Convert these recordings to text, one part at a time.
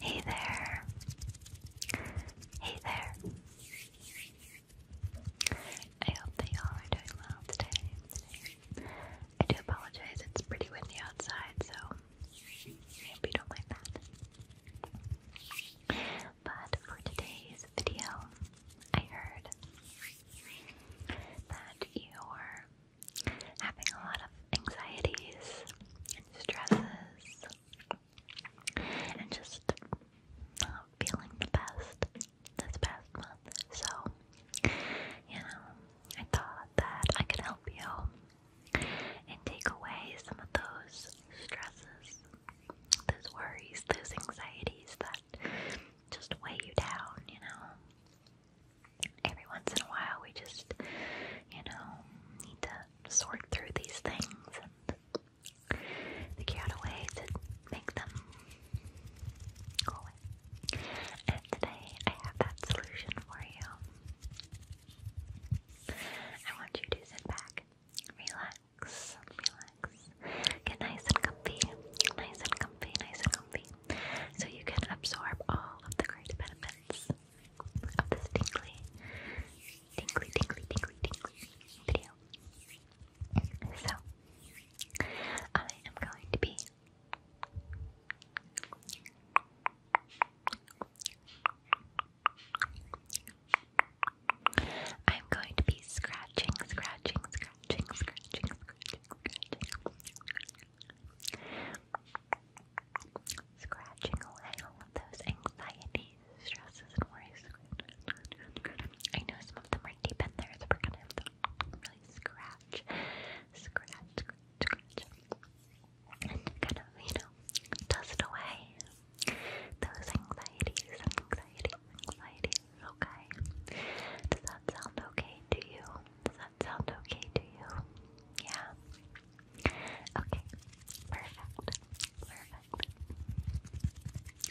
Hey there. Hey there. I hope that y'all are doing well today. I do apologize, it's pretty windy outside, so I you don't mind that. But for today's video, I heard that your having a lot of anxieties and stresses and just not feeling the best this past month. So, you know, I thought that I could help you and take away some of those stresses, those worries, those anxieties that just weigh you down, you know every once in a while we just, you know, need to sort through these things and figure out a way to make them go away. And today I have that solution for you. I want you to sit back, relax, relax, get nice and comfy, nice and comfy, nice and comfy, so you can absorb all of the great benefits of this tingly, tingly, tingly, tingly, tingly video. So, I am going to be I'm going to be scratching, scratching, scratching, scratching, scratching, scratching, scratching, Scratching away all of those anxieties, stresses, and worries. I know some of them are deep in there, so we're gonna really scratch, scratch, scratch, and kind of, you know, dust away those anxieties anxieties, anxieties. Okay. Does that sound okay to you? Does that sound okay to you? Yeah. Okay, perfect, perfect.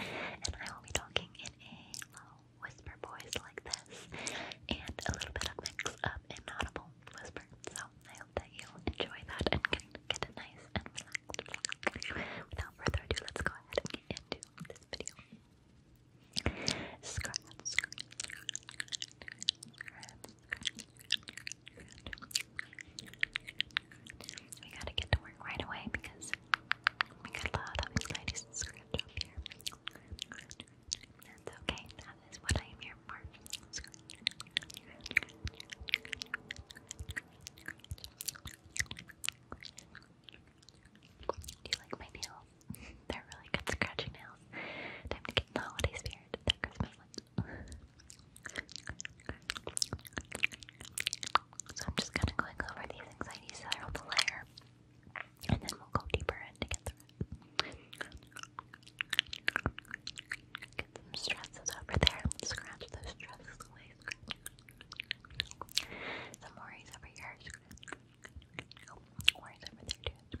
And I will be talking in a low whisper voice like this, and a little bit of mix of inaudible whisper. So I hope that you enjoy that and can get it nice and relaxed. Without further ado, let's go ahead and get into this video. Scratch, we gotta get to work right away because we got a lot of anxieties and up here. That's okay, that is what I am here for. Do you like my nails? They're really good scratchy nails else. Time to get the holiday spirit, that Christmas So I'm just kind of going over these anxieties that on the layer, and then we'll go deeper in it. Get some stresses over there. Scratch those stresses away. Some worries over here. Worries over there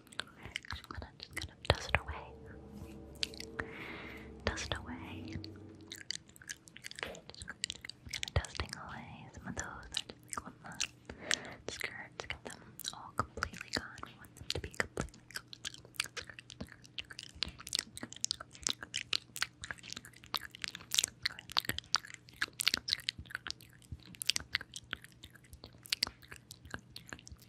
I'm just gonna dust away. Dust away. Just kind of dusting away some of those. I just like want the get them all completely gone. We want them to be completely gone.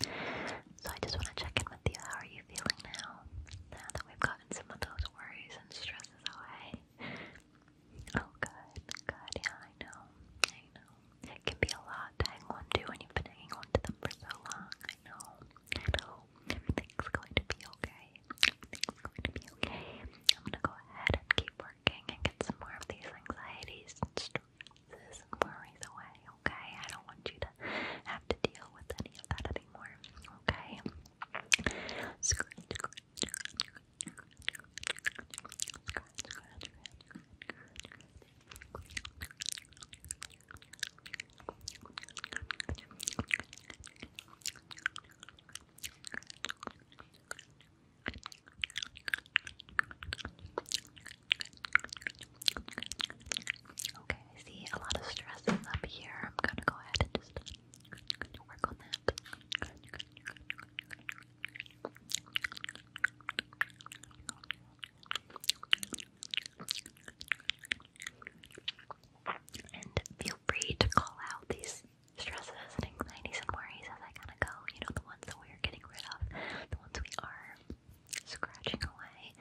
So I just want to check in with you. How are you feeling now? Now that we've gotten some of those worries and stresses away. Oh, good, good. Yeah, I know. I know. It can be a lot to on to when you've been hanging on to them for so long. I know. I know. Everything's going to be okay. Everything's going to be okay. I'm going to go ahead and keep working and get some more of these anxieties and stress this worries away, okay? I don't want you to have to deal with any of that anymore, okay? Okay, I see a lot of stresses up here. I'm gonna go ahead and just work on that. And feel free to call out these stresses and anxieties and worries as I kind of go. You know, the ones that we're getting rid of, the ones we are scratching away.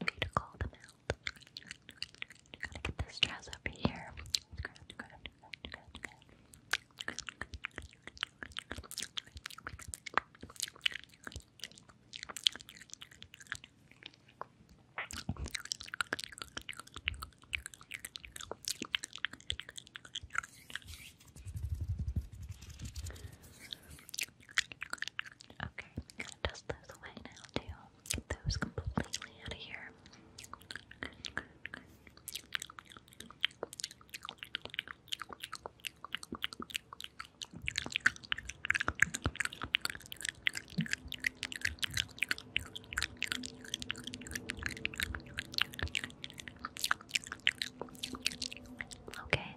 We need to call them out. Gotta get this dress over here. Okay, gonna dust those away now too. Get those completely out of here. Okay,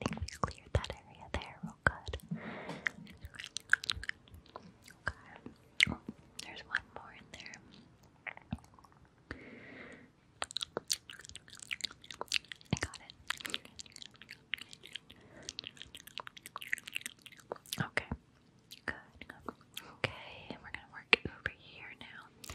I think we cleared that area there real oh, good. Okay. there's one more in there. I got it. Okay. Good. Okay, and we're gonna work over here now.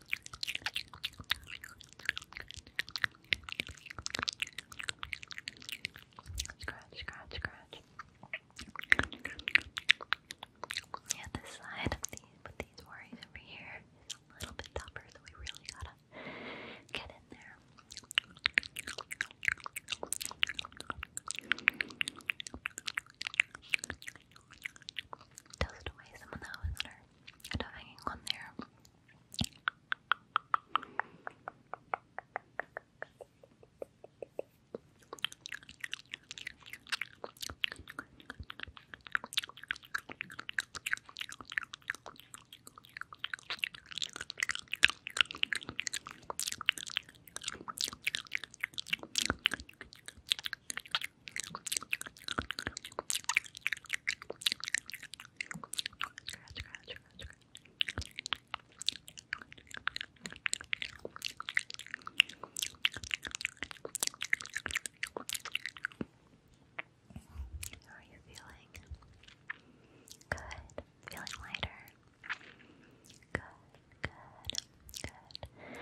Scratch, scratch, scratch. Yeah, this side of these, but these worries over here is a little bit tougher, so we really gotta get in there. Toast away some of those that there and hanging one there. How are you feeling? Good. Feeling lighter? Good, good, good.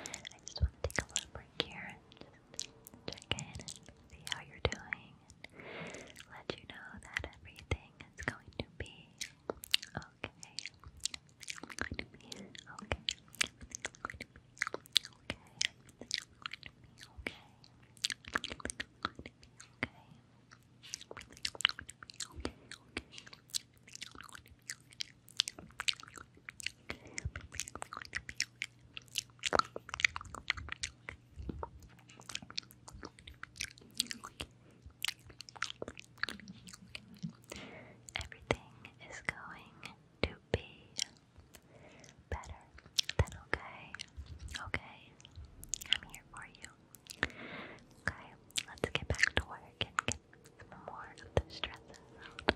I just want to take a little break here and check in see how you're doing let you know that everything is going to be okay. Going to be okay. Everything's okay. okay. okay. okay. Okay. okay. okay. Everything is going to be better than okay. Okay, I'm here for you. Okay, let's get back to work and get some more of the stress out.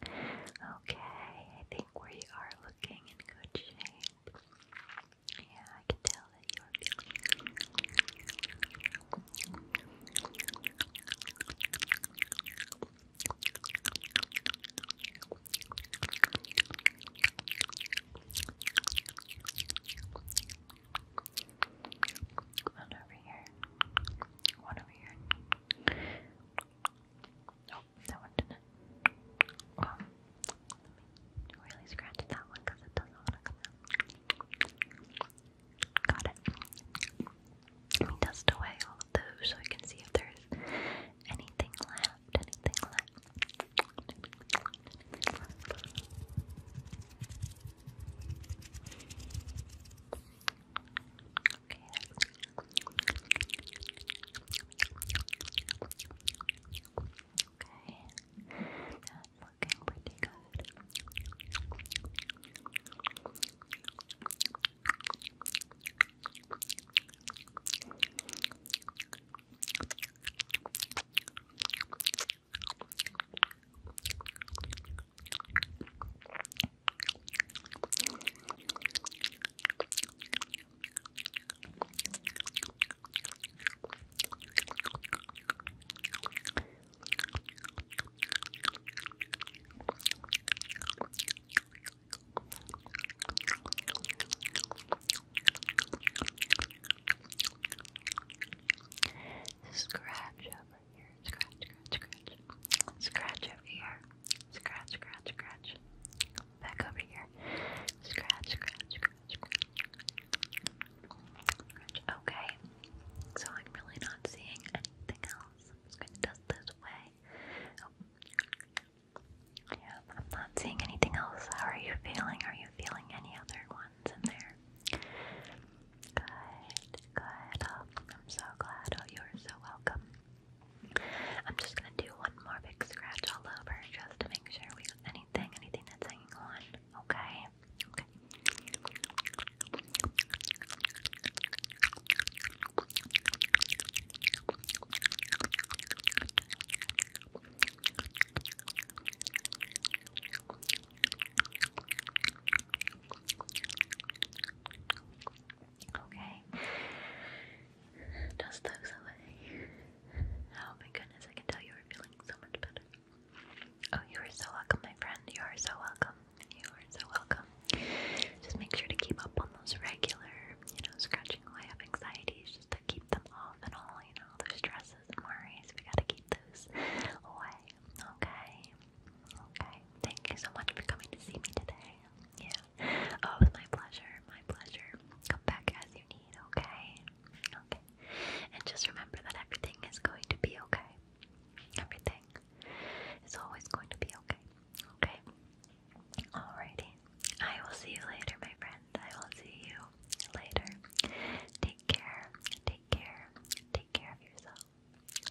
Okay, I think we are looking in good shape. Yeah, I can tell that you are feeling. One over here. One over here. Nope, oh, that one didn't. Um, really scratch that one because it doesn't want to come out. Got it. Let me dust away all of those so I can see if there's Anything left. Anything left. Okay. Okay. That's looking pretty good. Scratch over your scratch, scratch, scratch. Scratch over here. Scratch, scratch, scratch. Back over here. Scratch, scratch, scratch, scratch. Okay. So I'm really not seeing anything else. I'm just going to dust this away. Oh. Yeah, I'm not seeing anything else. How are you feeling? Are you feeling any other ones in there? Good, good. Oh, I'm so glad. Oh, you are so welcome. I'm just gonna do one more big scratch all over just to make sure we got anything, anything that's hanging on. Okay. Okay. Okay. Dust those away. Oh my goodness, I can tell you are feeling so much better. Oh, you are so welcome, my friend. You are so welcome. You are so welcome. Just make sure to keep up on those regular, you know, scratching away of anxieties just to keep them off and all, you know, those stresses and worries. We gotta keep those away. Okay. Okay. Thank you so much for coming to see me today. Yeah, Oh, it my pleasure, my pleasure. Come back as you need, okay? Okay. And just remember that everything is going to be okay. Everything is always going to be okay. Okay? Alrighty. I will see you later, my friend. I will see you later. Take care. Take care. Take care of yourself.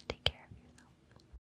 Take care of yourself.